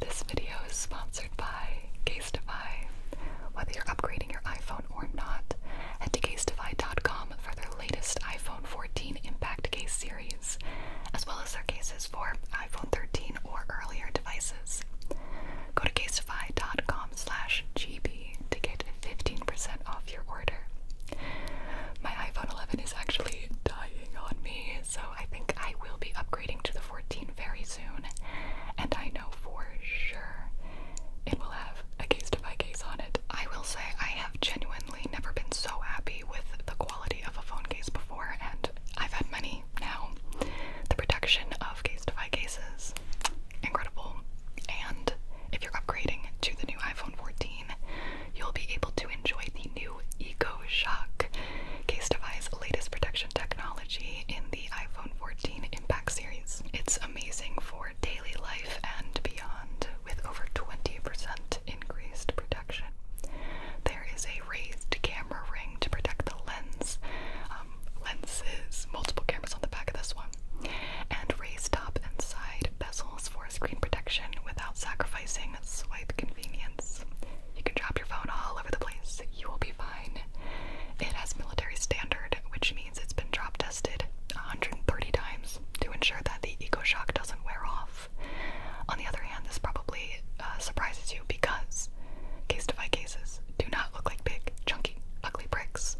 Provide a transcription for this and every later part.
This video is sponsored by Castify. Whether you're upgrading your iPhone or not, head to castify.com for their latest iPhone 14 Impact Case series, as well as their cases for iPhone 13 or earlier devices. Go to castify.com slash GB to get 15% off your order. My iPhone 11 is actually dying on me, so I think I will be upgrading to the 14 very soon, and I know for sure it will have a case to buy case on it. I will say I have genuinely never been so happy with the quality of a phone case before, and I've had many now. The protection of case to buy cases, incredible. And if you're upgrading to the new iPhone 14, you'll be able to enjoy the new Eco Shock Case Defy's latest protection technology in the iPhone 14 Impact series. It's amazing for daily life and beyond, with over 20% increased protection. There is a raised camera ring to protect the lens, um, lenses, multiple cameras on the back of this one, and raised top and side bezels for screen protection without sacrificing swipe convenience. You can drop your phone all over the place. You will be fine. It has military standard, which means it's been drop tested 130 times to ensure that the eco shock doesn't wear off. On the other hand, this probably uh, surprises you because case to cases do not look like big, chunky, ugly bricks.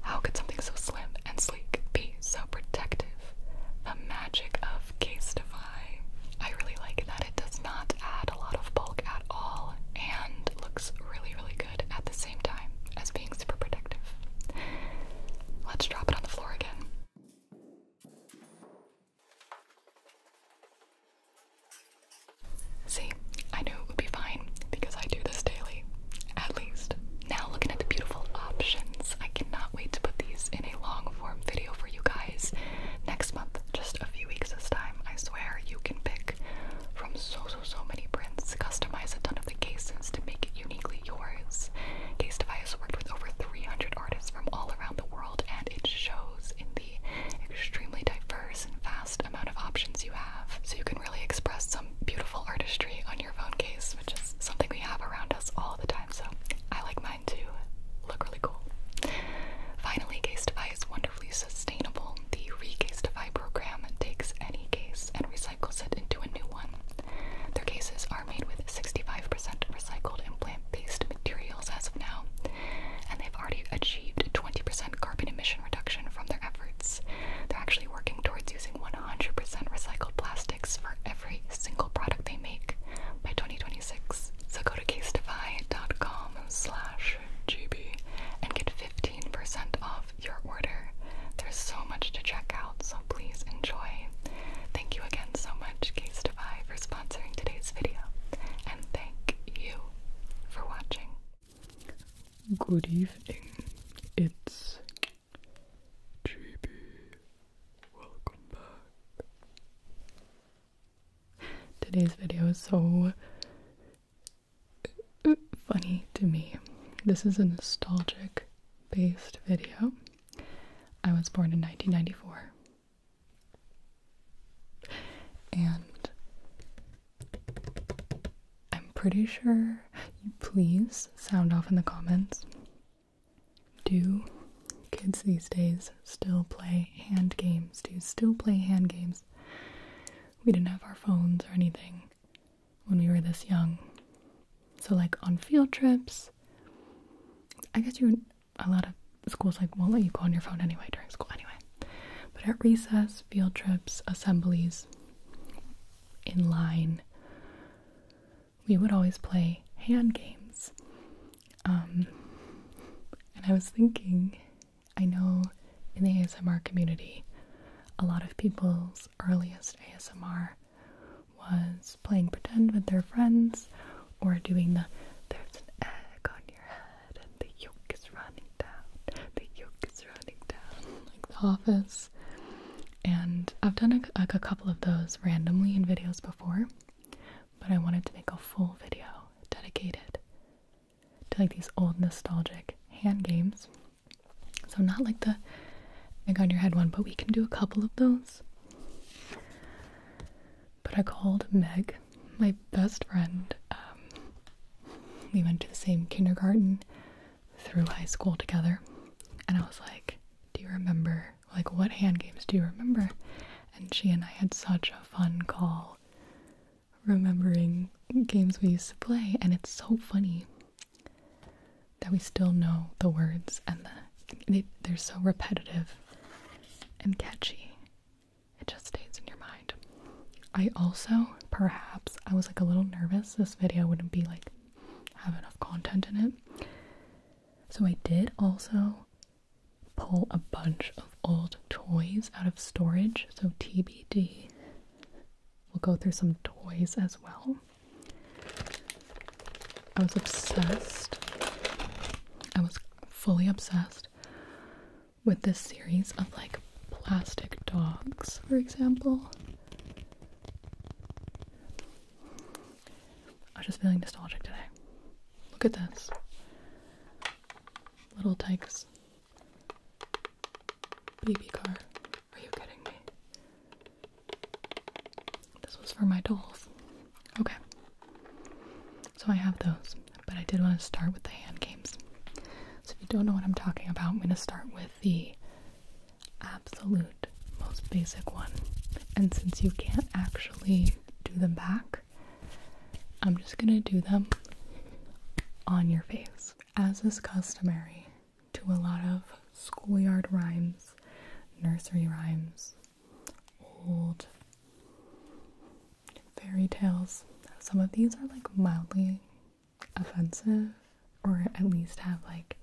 How could something so slim and sleek be so protective? The magic of case defy. I really like that it does not add a lot of bulk at all and looks really, really good at the same time as being super protective. Let's drop it on the floor again. See, I knew it would be fine because I do this daily, at least. Now, looking at the beautiful options, I cannot wait to put these in a long form video for you guys next month, just a few weeks this time, I swear you can pick from so so so many prints, customize a ton of the cases to make it uniquely yours. Case Defy has worked with over 300 artists from all around the world, and it shows in the extremely diverse and vast amount of options you have. So you can really express some beautiful artistry on your phone case, which is something we have around us all the time. So I like my mine to look really cool. Finally, Casetify is wonderfully sustainable. The Recasetify program takes any case and recycles it into a new one. Their cases are made with 65% recycled and plant-based materials as of now, and they've already achieved 20% carbon emission reduction from their efforts. They're actually working towards using 100% recycled plastics for every single product they make by 2020. So go to casetify.com GB and get 15% off your order. There's so much to check out, so please enjoy. Thank you again so much, Casetify, for sponsoring today's video. And thank you for watching. Good evening. It's GB. Welcome back. Today's video is so funny to me. This is a nostalgic based video. I was born in 1994. And I'm pretty sure you please sound off in the comments do kids these days still play hand games? Do you still play hand games? We didn't have our phones or anything when we were this young. So, like on field trips, I guess you a lot of schools like won't let you go on your phone anyway during school anyway. But at recess, field trips, assemblies, in line, we would always play hand games. Um, and I was thinking, I know in the ASMR community, a lot of people's earliest ASMR was playing pretend with their friends or doing the there's an egg on your head and the yolk is running down, the yolk is running down, like The Office. And I've done a, a couple of those randomly in videos before but I wanted to make a full video dedicated to like these old nostalgic hand games. So not like the egg on your head one, but we can do a couple of those. But I called Meg, my best friend. Um, we went to the same kindergarten through high school together, and I was like, "Do you remember like what hand games do you remember and she and i had such a fun call remembering games we used to play and it's so funny that we still know the words and the they, they're so repetitive and catchy it just stays in your mind i also perhaps i was like a little nervous this video wouldn't be like have enough content in it so i did also pull a bunch of old toys out of storage, so TBD. We'll go through some toys as well. I was obsessed. I was fully obsessed with this series of like plastic dogs, for example. I'm just feeling nostalgic today. Look at this. Little Tykes baby car. Are you kidding me? This was for my dolls. Okay. So I have those, but I did want to start with the hand games. So if you don't know what I'm talking about, I'm going to start with the absolute most basic one. And since you can't actually do them back. I'm just gonna do them on your face. As is customary to a lot of schoolyard rhymes, nursery rhymes, old fairy tales, some of these are like mildly offensive or at least have like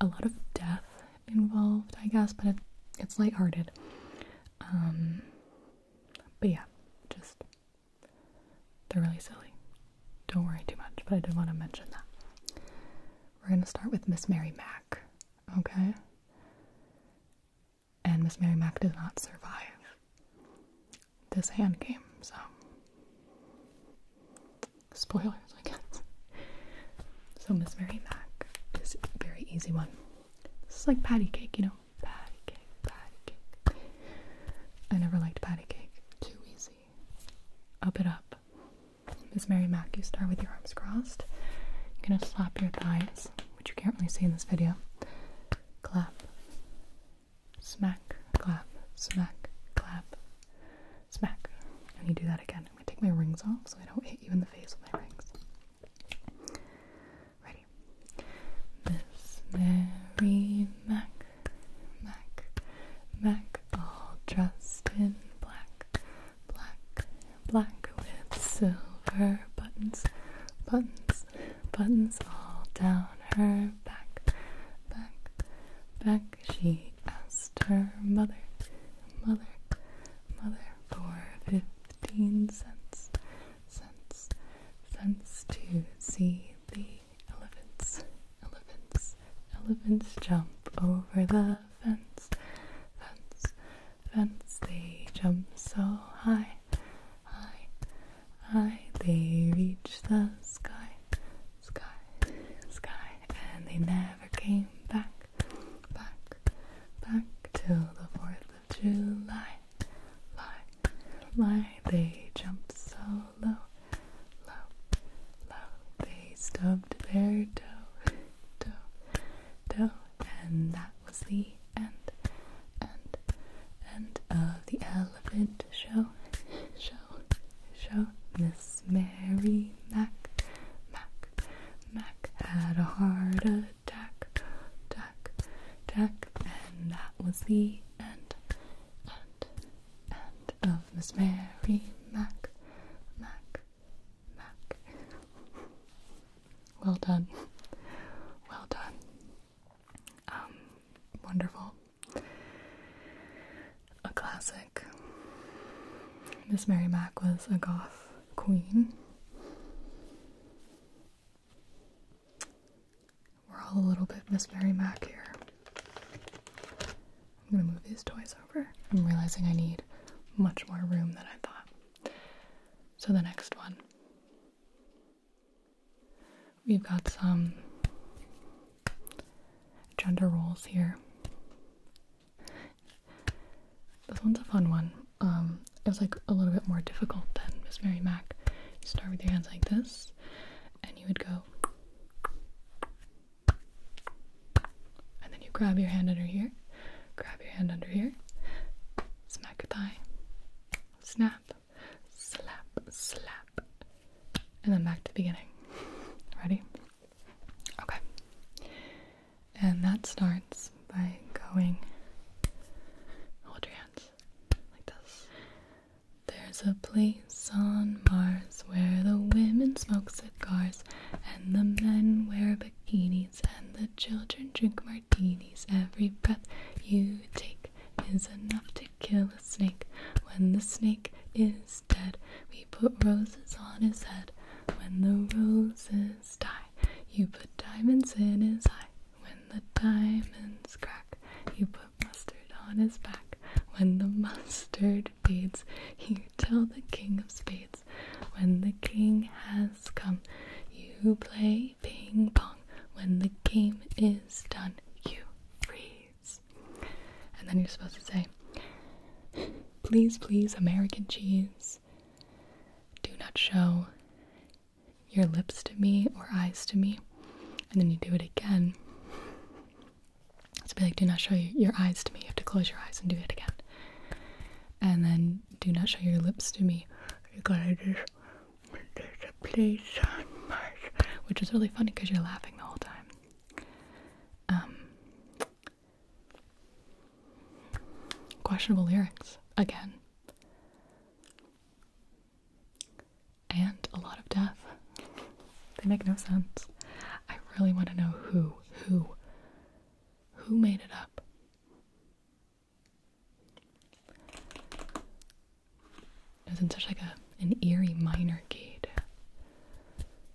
a lot of death involved, I guess, but it's lighthearted. Um, but yeah, just they're really silly. Don't worry too much, but I did want to mention that. We're gonna start with Miss Mary Mack, okay? And Miss Mary Mack does not survive this hand game, so spoilers. So Miss Mary Mac is a very easy one. This is like patty cake, you know. Patty cake, patty cake. I never liked patty cake. Too easy. Up it up. Miss Mary Mac, you start with your arms crossed. You're gonna slap your thighs, which you can't really see in this video. Clap. Smack, clap, smack, clap. Smack. And you do that again. I'm gonna take my rings off so I don't hit you in the face with my rings. Ready? Miss Mary Mac, Mac, Mac, all dressed in black, black, black with silver buttons, buttons, buttons all down her back, back, back. She asked her mother, mother, mother for 15 cents, cents, cents to see the elephants, elephants, elephants jump over the fence, fence, fence. They jump so high, high, high. They reach the sky, sky, sky, and they never came back back, back till the 4th of July. Lie, lie, they jumped so low, low, low, they stubbed their toe, toe, toe, and that was the end, end, end of the elephant show, show, show. Miss Mary Mac, Mac, Mac had a heart attack, attack, attack, and that was the end, end, end of Miss Mary Mac, Mac, Mac. well done, well done. Um, wonderful. A classic Miss Mary Mack was a goth queen. We're all a little bit Miss Mary Mack here. I'm gonna move these toys over. I'm realizing I need much more room than I thought. So the next one. We've got some gender roles here. This one's a fun one. Um, it was like a little bit more difficult than Miss Mary Mac. You start with your hands like this, and you would go, and then you grab your hand under here, grab your hand under here, smack your thigh, snap, slap, slap, and then back to the beginning. Ready? Okay. And that starts by going, hold your hands like this. There's a place on Mars where the women smoke cigars and the men wear bikinis and the children drink martinis. Every breath you take is enough to kill a snake. When the snake is dead, we put roses on his head. When the roses die, you put diamonds in his eye. When the diamonds crack, you put mustard on his back. When the mustard fades, you tell the king of spades. When the king has come, you play ping pong. When the game is done, you freeze. And then you're supposed to say, Please, please, American cheese, do not show your lips to me or eyes to me. And then you do it again. So be like, do not show your eyes to me. You have to close your eyes and do it again. And then do not show your lips to me. You gotta just which is really funny because you're laughing the whole time. Um, Questionable lyrics, again. And a lot of death. They make no sense. I really want to know who, who, who made it up. It was in such like a an eerie minor key.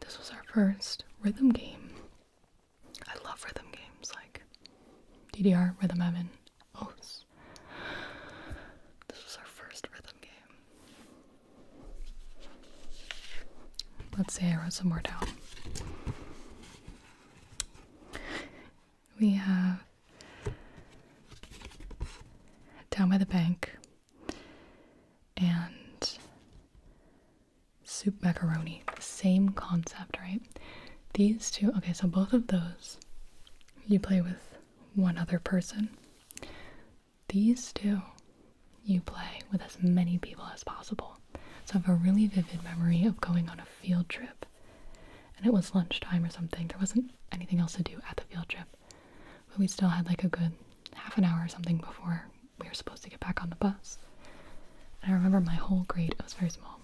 This was our first rhythm game. I love rhythm games like DDR, Rhythm Heaven, O's. This was our first rhythm game. Let's see, I wrote some more down. We have Down by the Bank, and soup macaroni. Same concept, right? These two, okay, so both of those you play with one other person. These two you play with as many people as possible. So I have a really vivid memory of going on a field trip and it was lunchtime or something. There wasn't anything else to do at the field trip, but we still had like a good half an hour or something before we were supposed to get back on the bus. And I remember my whole grade, it was very small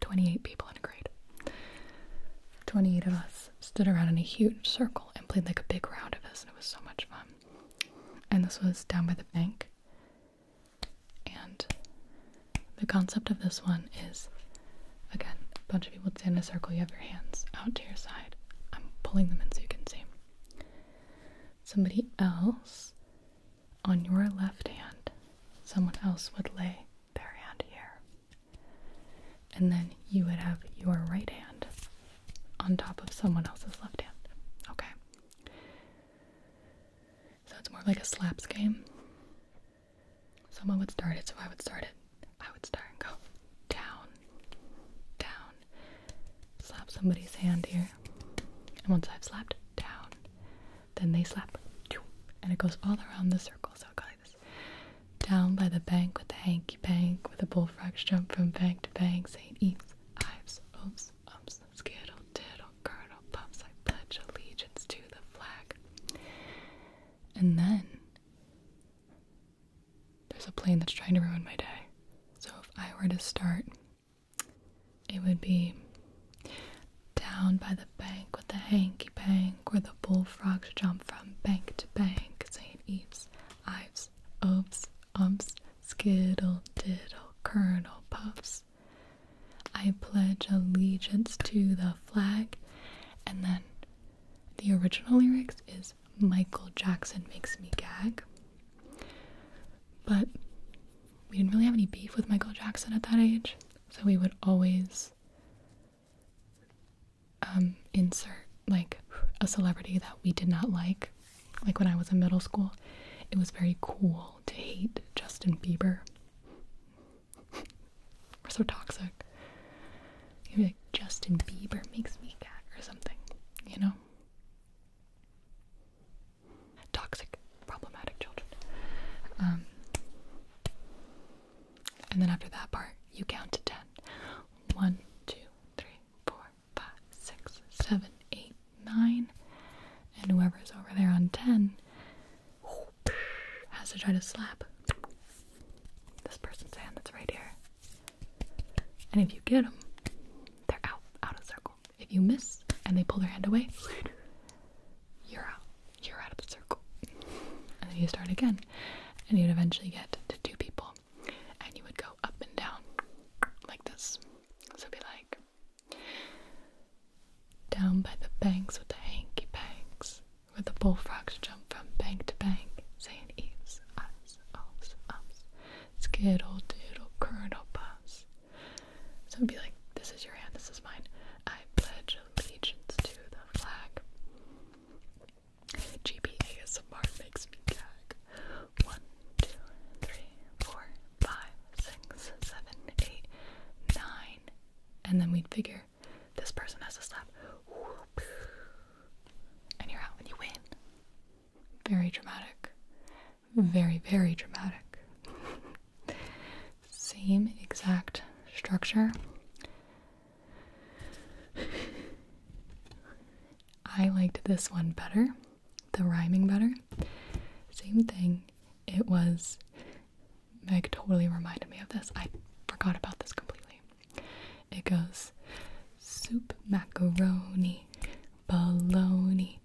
28 people in a grade. 28 of us stood around in a huge circle and played like a big round of this, and it was so much fun. And this was down by the bank. And the concept of this one is again, a bunch of people to stand in a circle. You have your hands out to your side. I'm pulling them in so you can see. Somebody else on your left hand, someone else would lay their hand here. And then you would have your right hand on top of someone else's left hand. Okay. So it's more like a slaps game. Someone would start it, so I would start it. I would start and go down, down, slap somebody's hand here, and once I've slapped down, then they slap, and it goes all around the circle. So it goes this: down by the bank with the hanky pank, with the bullfrogs jump from bank to bank, saying eats, ives, oops, umps, skittle, tittle, curdle, pups. I pledge allegiance to the flag, and then. There's a plane that's trying to ruin my day. So if I were to start, it would be down by the bank with the hanky pank, where the bullfrogs jump from bank to bank. St. Eve's, Ives, Oves, Umps, Skittle, Diddle, Colonel, Puffs. I pledge allegiance to the flag. And then the original lyrics is Michael Jackson makes me gag. But we didn't really have any beef with Michael Jackson at that age, so we would always um, insert like a celebrity that we did not like. Like when I was in middle school, it was very cool to hate Justin Bieber. We're so toxic. You're like, Justin Bieber makes me cat or something, you know? Toxic, problematic children. Um, and then after that part, you count to ten. One, two, three, four, five, six, seven, eight, nine. And whoever's over there on ten has to try to slap this person's hand that's right here. And if you get them, they're out, out of circle. If you miss and they pull their hand away, you're out. You're out of the circle. And then you start again. And you'd eventually get to two people. And you would go up and down like this. So be like, down by the banks with the hanky panks, where the bullfrogs jump from bank to bank, saying eaves, us, ups, ups, skittle, doodle, kernel, puffs. So it'd be like, this is your hand, this is mine. I pledge allegiance to the flag. GPA ASMR makes me gag. One, two, three, four, five, six, seven, eight, nine. And then we'd figure this person has to stop and you're out and you win. Very dramatic. Very, very dramatic. Same exact structure. I liked this one better, the rhyming better. Same thing. It was. Meg totally reminded me of this. I forgot about this completely. It goes soup, macaroni, baloney,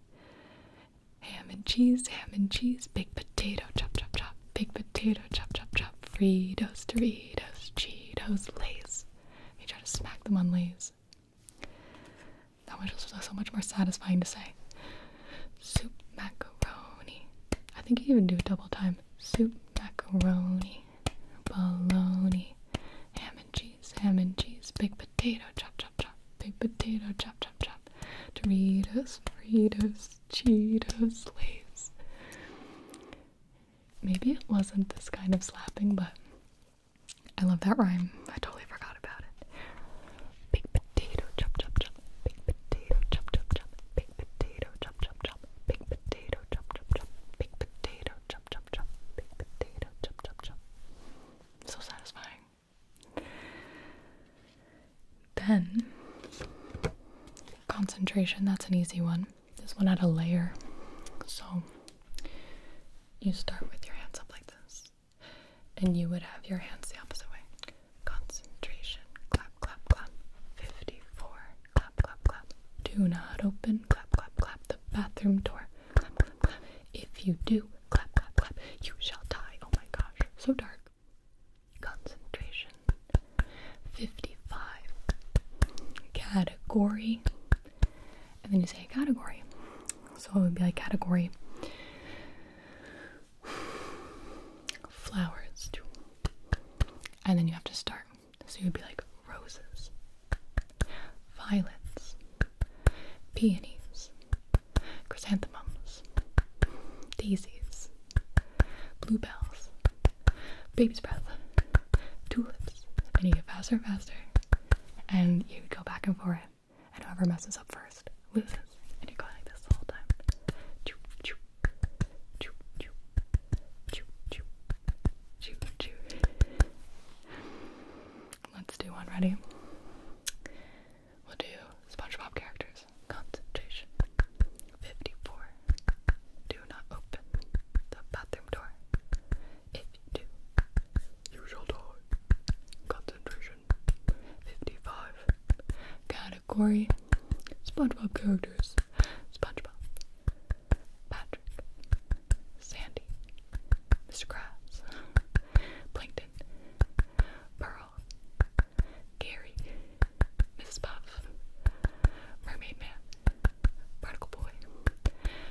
ham and cheese, ham and cheese, baked potato, chop, chop, chop, baked potato, chop, chop, chop, Fritos, Doritos, Cheetos, Lays. You try to smack them on Lays. That much was so much more satisfying to say. Soup, macaroni. I think you even do a double time. Soup, macaroni bologna, ham and cheese, ham and cheese, big potato, chop, chop, chop, big potato, chop, chop, chop, Doritos, Fritos, Cheetos, Lays. Maybe it wasn't this kind of slapping, but I love that rhyme. I totally forgot about it. Big potato, chop, chop, chop, big potato, chop, chop, chop, big potato, chop, chop, chop big potato, chop, chop, chop, big potato, chop, chop, chop, big potato, chop, chop, chop. So satisfying. Then, concentration, that's an easy one. This one had a layer. So, you start with your hands up like this, and you would have your hands the opposite way. Concentration, clap, clap, clap. 54, clap, clap, Do not open, clap, clap, clap. The bathroom door, clap, clap, clap. If you do, clap, clap, clap. You shall die. Oh my gosh, so dark. Concentration. 55. Category. And then you say category. So it would be like category flowers. And then you have to start. So you'd be like roses, violets, peonies, chrysanthemums, daisies, bluebells, baby's breath, tulips. And you get faster and faster, and you go back and forth, and whoever messes up first loses. And you're going like this the whole time. Let's do one. Ready? We'll do SpongeBob characters. Concentration. 54. Do not open the bathroom door. If you do, you shall die. Concentration. 55. Category. SpongeBob characters. SpongeBob. Patrick, Sandy, Mr. Krabs, Plankton, Pearl, Gary, Mrs. Puff, Mermaid Man, Particle Boy,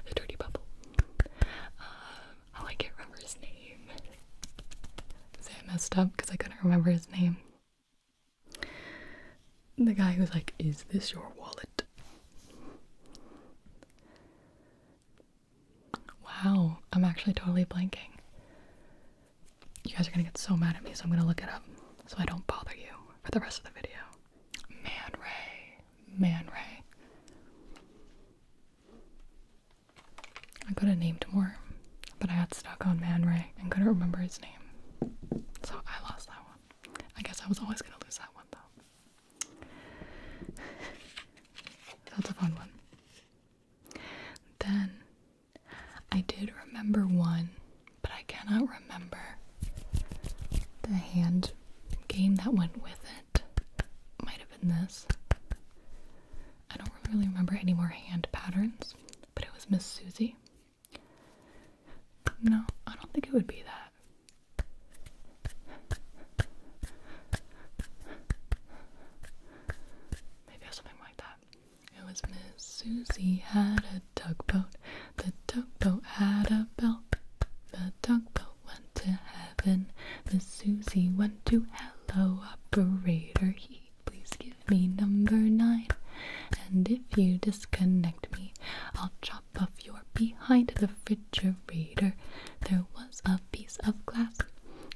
The Dirty Bubble. Um, oh, I can't remember his name. Is it messed up because I couldn't remember his name? The guy was like, Is this your wallet? Wow, I'm actually totally blanking. You guys are gonna get so mad at me, so I'm gonna look it up so I don't bother you for the rest of the video. Man Ray, Man Ray. I could have named more, but I got stuck on Man Ray and couldn't remember his name. So I lost that one. I guess I was always gonna lose that one though. That's a fun one. Then I did remember one, but I cannot remember the hand game that went with it. Might have been this. I don't really remember any more hand patterns, but it was Miss Susie. No, I don't think it would be that. Maybe something like that. It was Miss Susie had a tugboat. The tugboat had a bell. The tugboat went to heaven. Miss Susie went to hello, operator. He please give me number nine. And if you disconnect me, I'll chop off your behind the refrigerator. There was a piece of glass.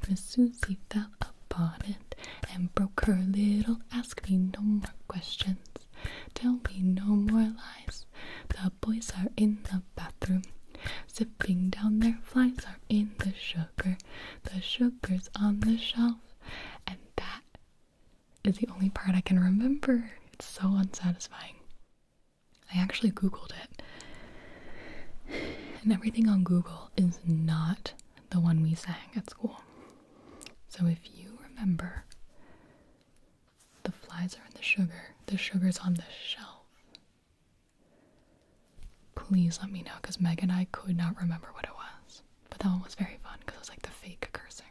Miss Susie fell upon it and broke her little. Ask me no more questions. Tell me no more lies. The boys are in the bathroom. Sipping down their flies are in the sugar. The sugar's on the shelf. And that is the only part I can remember. It's so unsatisfying. I actually googled it. And everything on Google is not the one we sang at school. So if you remember, the flies are in the sugar, the sugar's on the shelf. Please let me know because Meg and I could not remember what it was. But that one was very fun because it was like the fake cursing.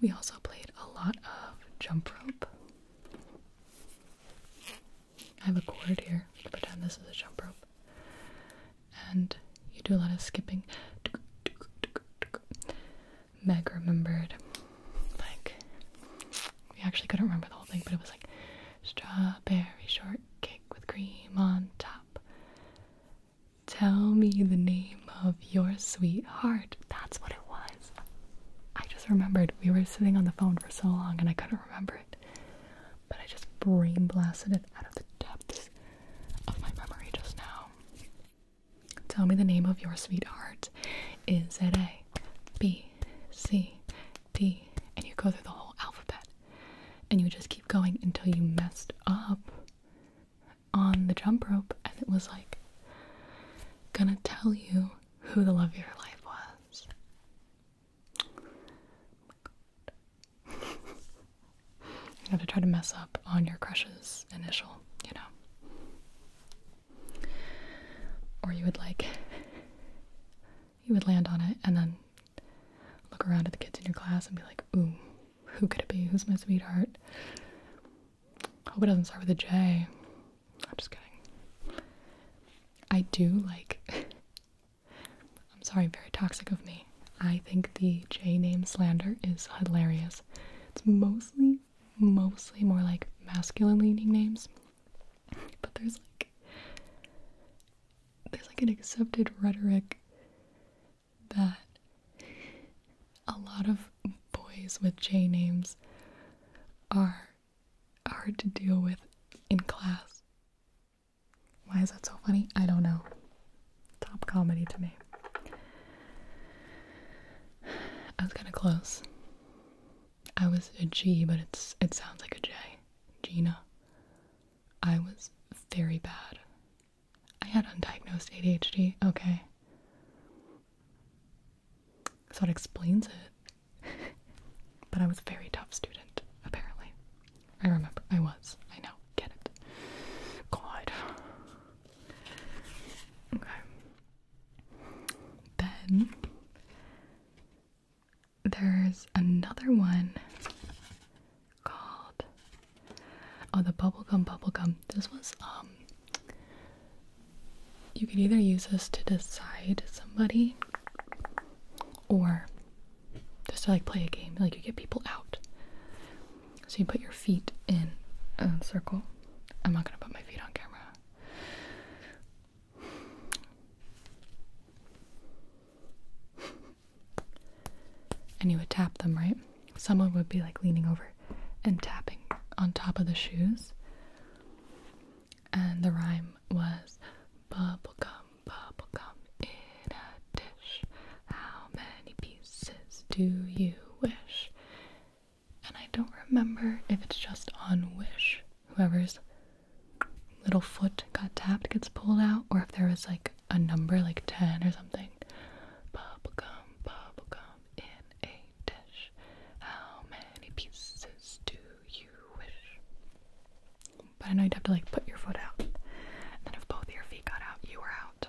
We also played a lot of jump rope. I have a cord here. We pretend this is a jump rope. And you do a lot of skipping. Meg remembered, like, we actually couldn't remember the whole thing, but it was like strawberry shortcake with cream on top. Tell me the name of your sweetheart. That's what it was. I just remembered. We were sitting on the phone for so long and I couldn't remember it. But I just brain blasted it out of the depths of my memory just now. Tell me the name of your sweetheart. Is it A, B, C, D? And you go through the whole alphabet and you just keep going until you messed up on the jump rope and it was like gonna tell you who the love of your life was. Oh you have to try to mess up on your crush's initial, you know. Or you would like you would land on it and then look around at the kids in your class and be like, ooh, who could it be? Who's my sweetheart? Hope it doesn't start with a J. I'm just kidding. I do like. I'm sorry, very toxic of me. I think the J name slander is hilarious. It's mostly, mostly more like masculine leaning names, but there's like. There's like an accepted rhetoric that a lot of boys with J names are hard to deal with in class. Why is that so funny? I don't know. Top comedy to me. I was kind of close. I was a G, but it's it sounds like a J. Gina. I was very bad I had undiagnosed ADHD. Okay. So it explains it. but I was a very tough student, apparently. I remember. I was. I know. Get it. God. Okay. Then there's another one called? Oh, the bubblegum, bubblegum. This was, um, you could either use this to decide somebody or just to like play a game, like you get people out. So you put your feet in a circle. I'm not gonna put my feet on camera and you would tap them, right? Someone would be like leaning over and tapping on top of the shoes. And the rhyme was bubblegum, bubblegum in a dish. How many pieces do you wish? And I don't remember if it's just on Wish, whoever's little foot got tapped gets pulled out, or if there was like a number like 10 or something. Bubblegum, bubblegum in a dish. How many pieces do you wish? But I know you'd have to like put your foot out. And then if both your feet got out, you were out.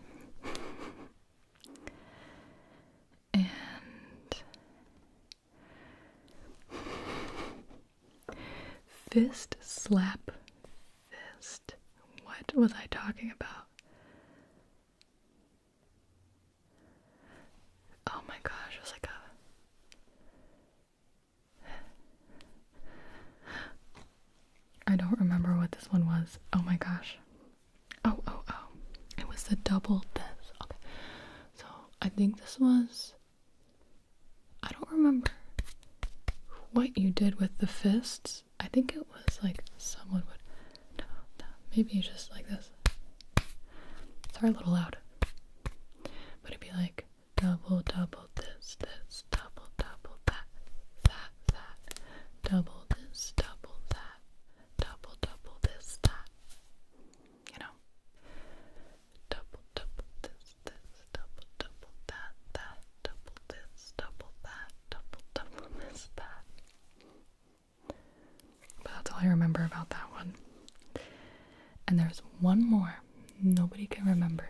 and fist slap fist. What was I talking about? Oh my gosh, I was like a. I don't remember what this one was. Oh my gosh. Oh, oh, oh. It was the double this. Okay. So I think this was I don't remember what you did with the fists. I think it was like someone would. maybe just like this. Sorry, a little loud. But it'd be like double, double this, this, double, double that, that, that, double this, double that, double, double this, that. You know? Double, double this, this, double, double that, that, double this, double that, double, double this, that. But that's all I remember about that one. And there's one more nobody can remember.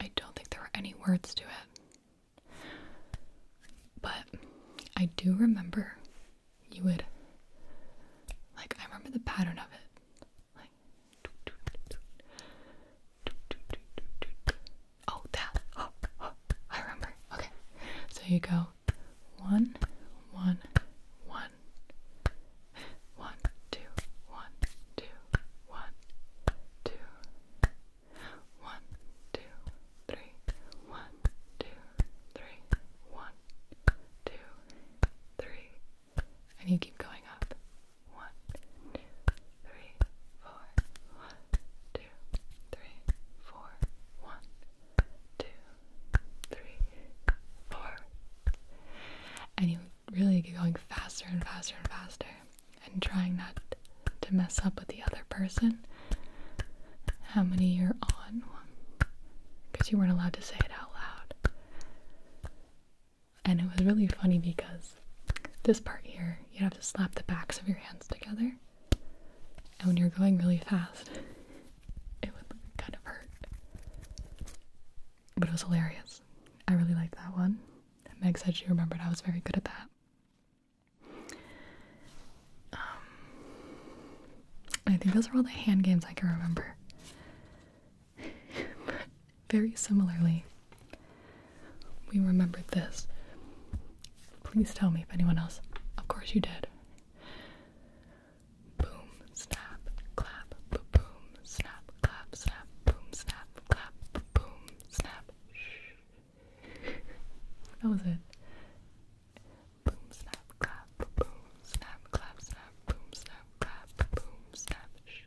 I don't think there were any words to it. But I do remember you would, like, I remember the pattern of it. Oh that I remember. Okay. So you go one, one, one, one, two, one, two, one, two, one, two, three, one, two, three, one, two, three, and you keep going up. One, two, three, four. And you really keep going faster and faster and faster, and trying not to mess up with the other person. How many you're on? Because you weren't allowed to say it out loud and it was really funny because this part here, you'd have to slap the backs of your hands together, and when you're going really fast, it would kind of hurt. But it was hilarious. I really liked that one. Meg said she remembered I was very good at that. Um, I think those are all the hand games I can remember. very similarly, we remembered this. Please tell me if anyone else. Of course you did. Boom, snap, clap, boom snap, clap, snap, boom, snap, clap, boom, snap. Shh. that was it. Boom, snap, clap, boom, snap, clap, snap, boom, snap, clap, boom, snap. Shh.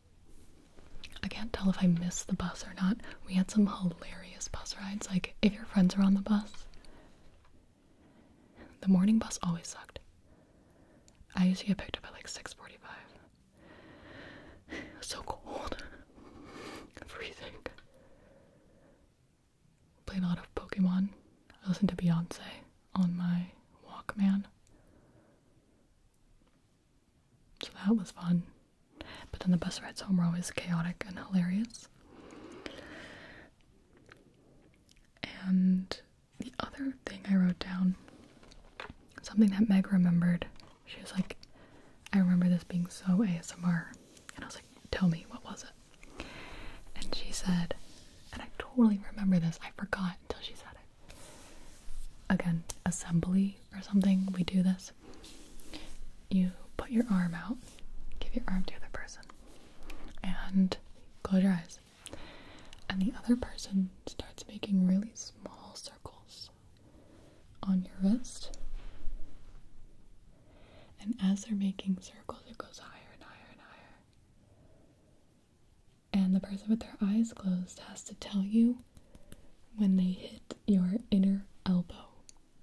I can't tell if I missed the bus or not. We had some hilarious bus rides. Like, if your friends are on the bus, the morning bus always sucked. I used to get picked up at like 6:45. It so cold, freezing. Played a lot of Pokemon. I listened to Beyonce on my Walkman. So that was fun. But then the bus rides home were always chaotic and hilarious. And the other thing I wrote down, something that Meg remembered, she was like, I remember this being so ASMR. And I was like, tell me, what was it? And she said, and I totally remember this, I forgot until she said it again, assembly or something, we do this. You put your arm out, give your arm to the other person, and close your eyes. And the other person starts making really small circles on your wrist. And as they're making circles, it goes higher and higher and higher and the person with their eyes closed has to tell you when they hit your inner elbow.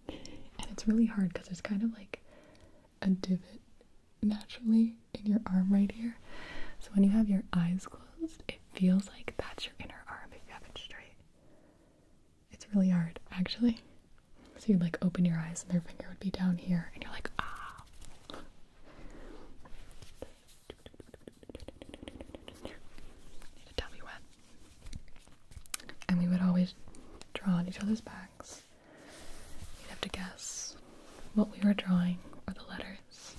And it's really hard because there's kind of like a divot naturally in your arm right here. So when you have your eyes closed, it feels like that's your inner arm if you have it straight. It's really hard, actually. So you'd like open your eyes and their finger would be down here, and you're like, ah to tell me when. And we would always draw on each other's backs. You'd have to guess what we were drawing or the letters.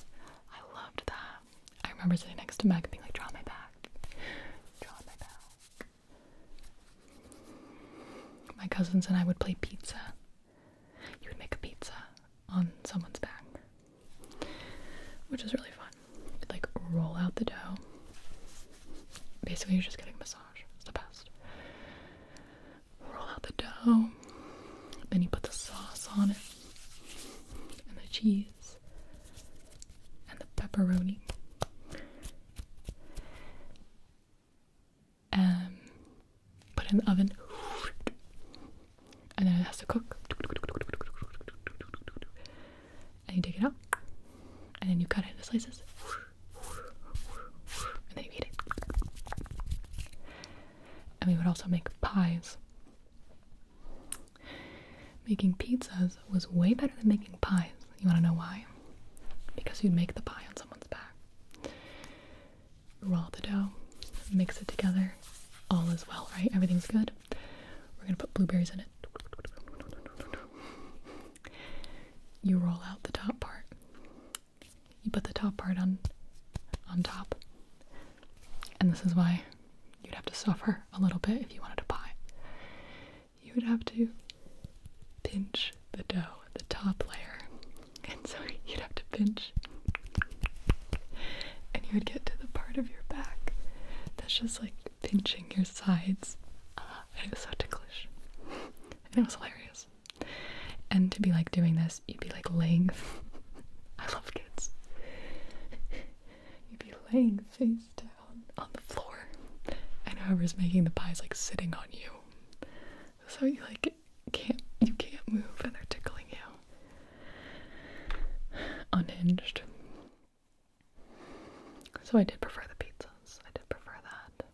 I loved that. I remember sitting next to Meg and being like, draw my back. Draw my back. My cousins and I would play pizza. You would make a pizza on someone's back, which is really fun. like roll out the dough. Basically, you're just getting a massage. It's the best. Roll out the dough, then you put the sauce on it, and the cheese, and the pepperoni. Um, put in the oven and then it has to cook. And you take it out, and then you cut it into slices, and then eat it. And we would also make pies. Making pizzas was way better than making pies. You want to know why? Because you'd make the pie on someone's back raw the dough, mix it together. All is well, right? Everything's good. We're gonna put blueberries in it. You roll out the top part. You put the top part on on top. And this is why you'd have to suffer a little bit if you wanted a pie. You would have to pinch the dough, the top layer. And so you'd have to pinch and you would get to the part of your back that's just like pinching your sides. and it was so ticklish. and it was hilarious. And to be like doing this, you'd be like laying. I love kids. you'd be laying face down on the floor, and whoever's making the pie's like sitting on you. So you like can't you can't move and they're tickling you. Unhinged. So I did prefer the pizzas. I did prefer that.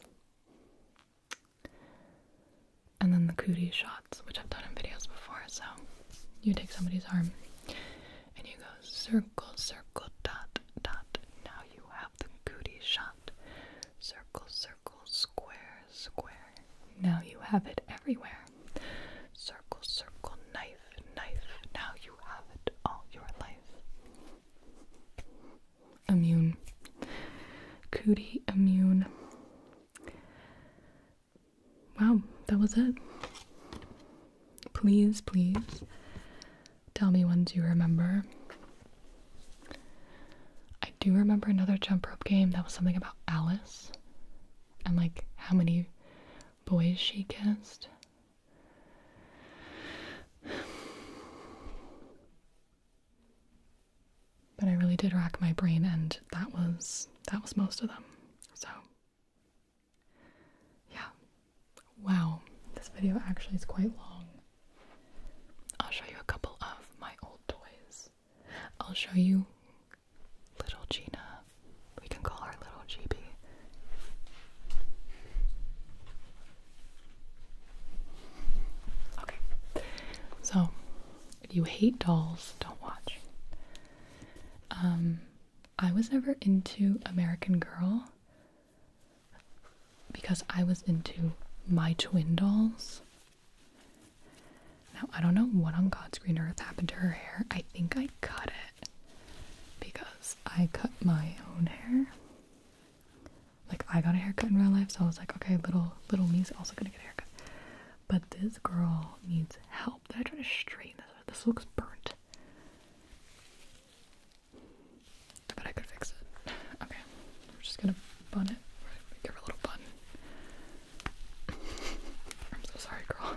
And then the cootie shots, which I've done in videos before. So you take somebody's arm and you go circle, circle, dot, dot. Now you have the cootie shot. Circle, circle, square, square, now you have it everywhere. Circle, circle, knife, knife. Now you have it all your life. Immune. Cootie immune. Wow, that was it. Please, please tell me ones you remember. I do remember another jump rope game that was something about Alice and like how many boys she kissed. But I really did rack my brain and that was that was most of them. So yeah. Wow, this video actually is quite long. I'll show you a couple of my old toys. I'll show you little Gina. We can call her little GB. Okay. So, if you hate dolls, don't watch. Um, I was never into American Girl because I was into my twin dolls now, I don't know what on God's green earth happened to her hair. I think I cut it because I cut my own hair. Like, I got a haircut in real life, so I was like, okay, little, little me's also gonna get a haircut. But this girl needs help. They're trying to straighten this? This looks burnt. I bet I could fix it. Okay, we're just gonna bun it. Give her a little bun. I'm so sorry, girl.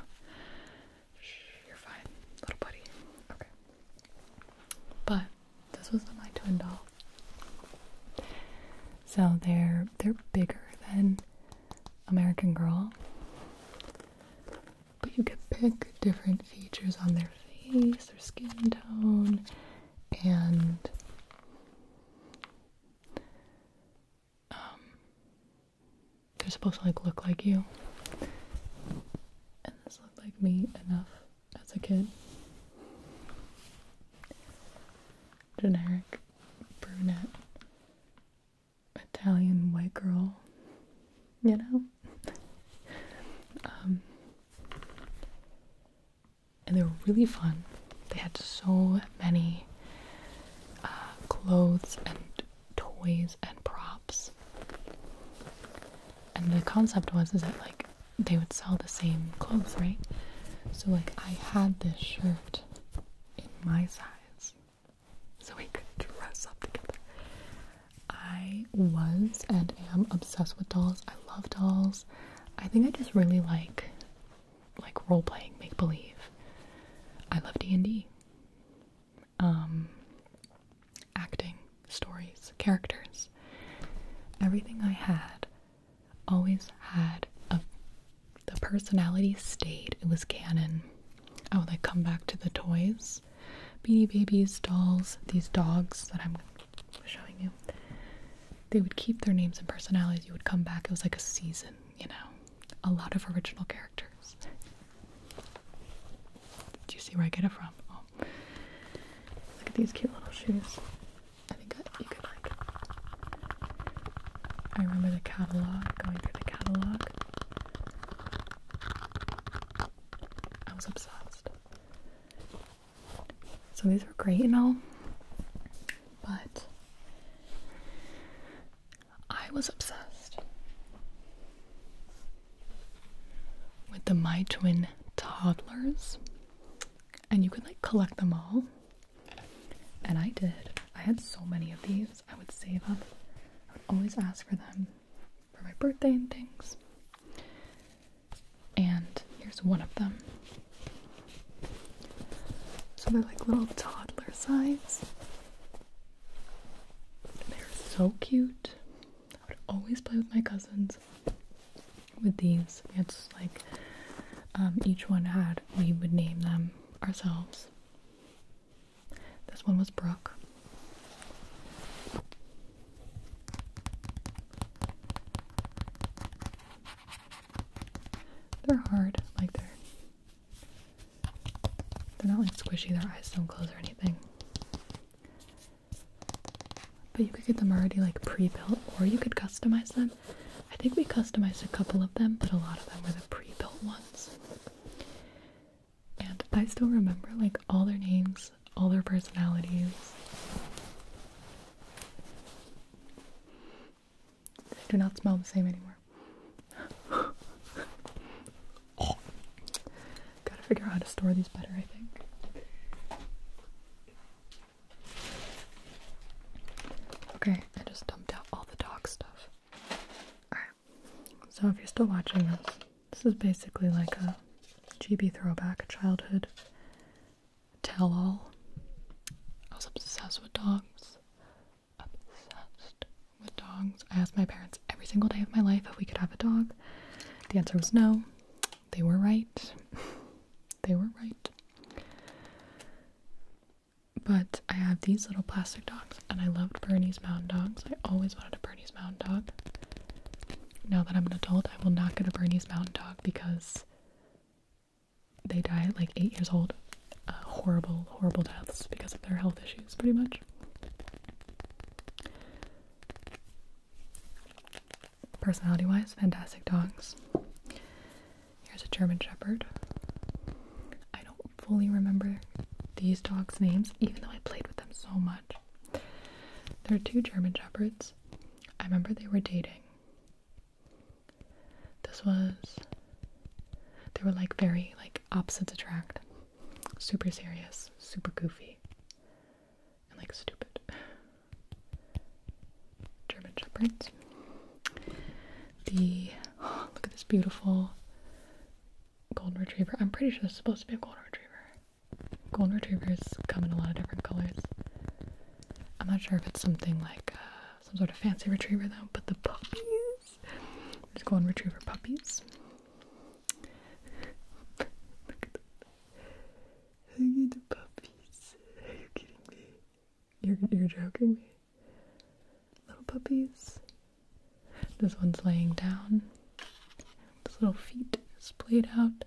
you're fine, little buddy. Okay. But this was my twin doll. So they're they're bigger than American Girl. But you could pick different features on their face, their skin tone, and um, they're supposed to like look like you. And this looked like me enough as a kid. Generic brunette Italian white girl, you know? um, and they were really fun. They had so many uh, clothes and toys and props. And the concept was is that like they would sell the same clothes, right? So like I had this shirt in my size, so we could dress up together. I was and am obsessed with dolls. I love dolls. I think I just really like like role playing, make believe. I love D and D. Um, acting, stories, characters, everything I had always had a the personality stayed. It was canon. I would like come back to the toys, Beanie Babies, dolls, these dogs that I'm showing you. They would keep their names and personalities. You would come back. It was like a season you know, a lot of original characters. Do you see where I get it from? Oh. Look at these cute little shoes. I remember the catalog, going through the catalog. I was obsessed. So these were great you know, but I was obsessed with the My Twin toddlers, and you could like collect them all. And I did. I had so many of these. I would save up. I would always ask for them for my birthday and things. And here's one of them. So they're like little toddler size. They're so cute. I would always play with my cousins with these. It's like um, each one had, we would name them ourselves. This one was Brooke. They're hard, like they're they're not like squishy, their eyes don't close or anything. But you could get them already like pre-built or you could customize them. I think we customized a couple of them, but a lot of them were the pre-built ones. And I still remember like all their names, all their personalities. They do not smell the same anymore. Gotta figure out how to store these better, I think. Okay, I just dumped out all the dog stuff. Alright, so if you're still watching this, this is basically like a GB throwback, childhood tell all. I was obsessed with dogs. Obsessed with dogs. I asked my parents every single day of my life if we could have a dog. The answer was no. They were right. they were right. But I have these little plastic dogs, and I loved Bernese Mountain Dogs. I always wanted a Bernese Mountain Dog. Now that I'm an adult, I will not get a Bernese Mountain Dog because they die at like eight years old. Uh, horrible, horrible deaths because of their health issues, pretty much. Personality wise, fantastic dogs. Here's a German Shepherd. I don't fully remember these dogs' names, even though I played with them so much. There are two German Shepherds. I remember they were dating. This was they were like very like opposites attract. Super serious, super goofy, and like stupid. German shepherds. The look at this beautiful golden retriever. I'm pretty sure this is supposed to be a golden retriever. Golden retrievers come in a lot of different colors. I'm not sure if it's something like uh, some sort of fancy retriever though. But the puppies, there's golden retriever puppies. Look at the, puppies. Are you kidding me? You're you're joking me. Little puppies. This one's laying down. His little feet splayed out.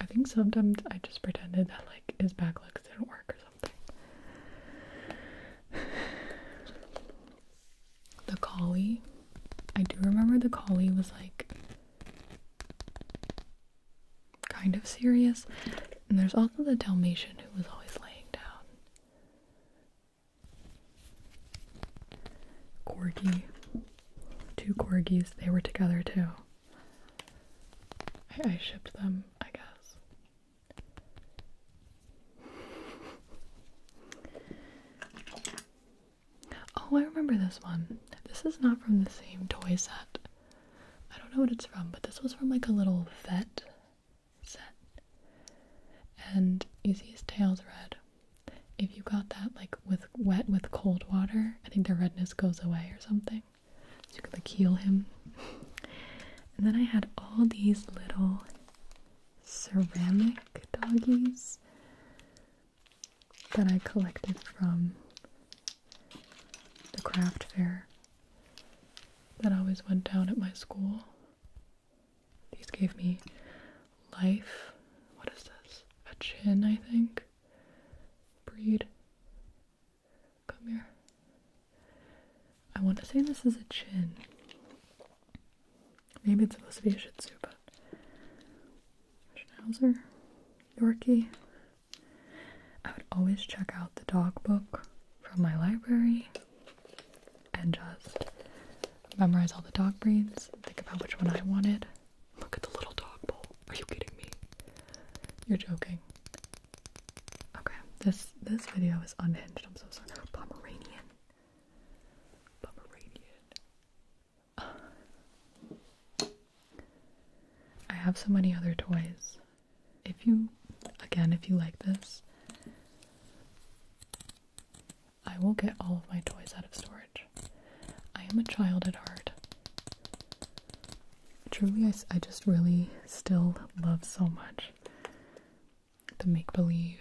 I think sometimes I just pretended that like his back legs didn't work or something. the collie. I do remember the collie was like kind of serious. And there's also the Dalmatian who was always laying down. Corgi. Two corgis, they were together too. I, shipped them, I guess. Oh, I remember this one. This is not from the same toy set. I don't know what it's from, but this was from like a little vet set. And you see his tail's red. If you got that like with wet with cold water, I think the redness goes away or something so you could like him. and then I had all these little ceramic doggies that I collected from the craft fair that always went down at my school. These gave me life. What is this? A chin, I think. Breed. Come here. I want to say this is a chin. Maybe it's supposed to be a Shih Tzu, but Schnauzer, Yorkie. I would always check out the dog book from my library and just memorize all the dog breeds, think about which one I wanted, Look at the little dog bowl. Are you kidding me? You're joking. Okay, this this video is unhinged. I'm so sorry. Pomeranian. Pomeranian. I have so many other toys. If you, again, if you like this, I will get all of my toys out of storage. I am a child at heart truly, I, I just really still love so much the make believe,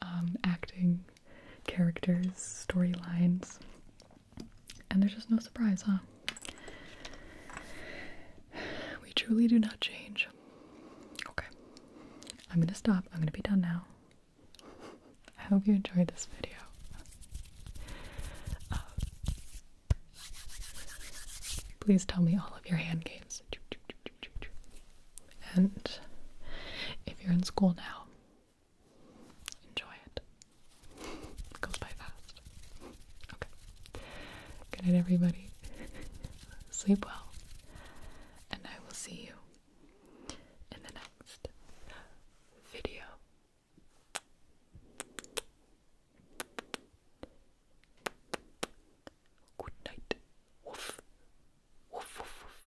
um, acting, characters, storylines. And there's just no surprise, huh? We truly do not change. Okay. I'm gonna stop. I'm gonna be done now. I hope you enjoyed this video. Uh, please tell me all of your hand games. And if you're in school now, enjoy it. It goes by fast. Okay. Good night, everybody. Sleep well. And I will see you in the next video. Good night. Woof. Woof, woof,